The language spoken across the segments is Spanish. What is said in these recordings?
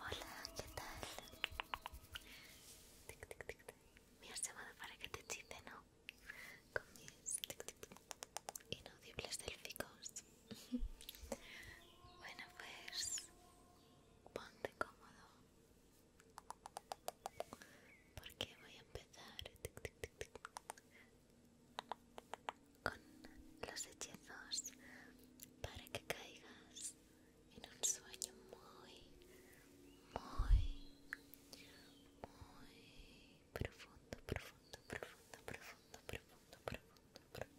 Hola, ¿qué tal? Tic, tic, tic, tic. Me has llamado para que te chiste, ¿no? Con mis tic, tic. inaudibles delficos. bueno, pues ponte cómodo porque voy a empezar tic, tic, tic, tic, con los hechizos para que caigas en un sueño muy, muy, muy profundo, profundo, profundo, profundo, profundo, profundo, profundo.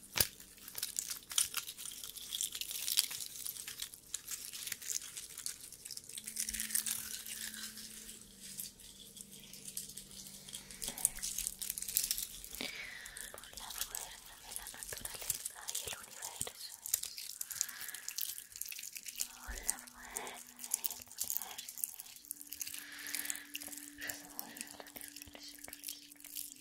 Por la fuerza de la naturaleza y el universo. Por la fuerza del universo. Por la fuerza del universo.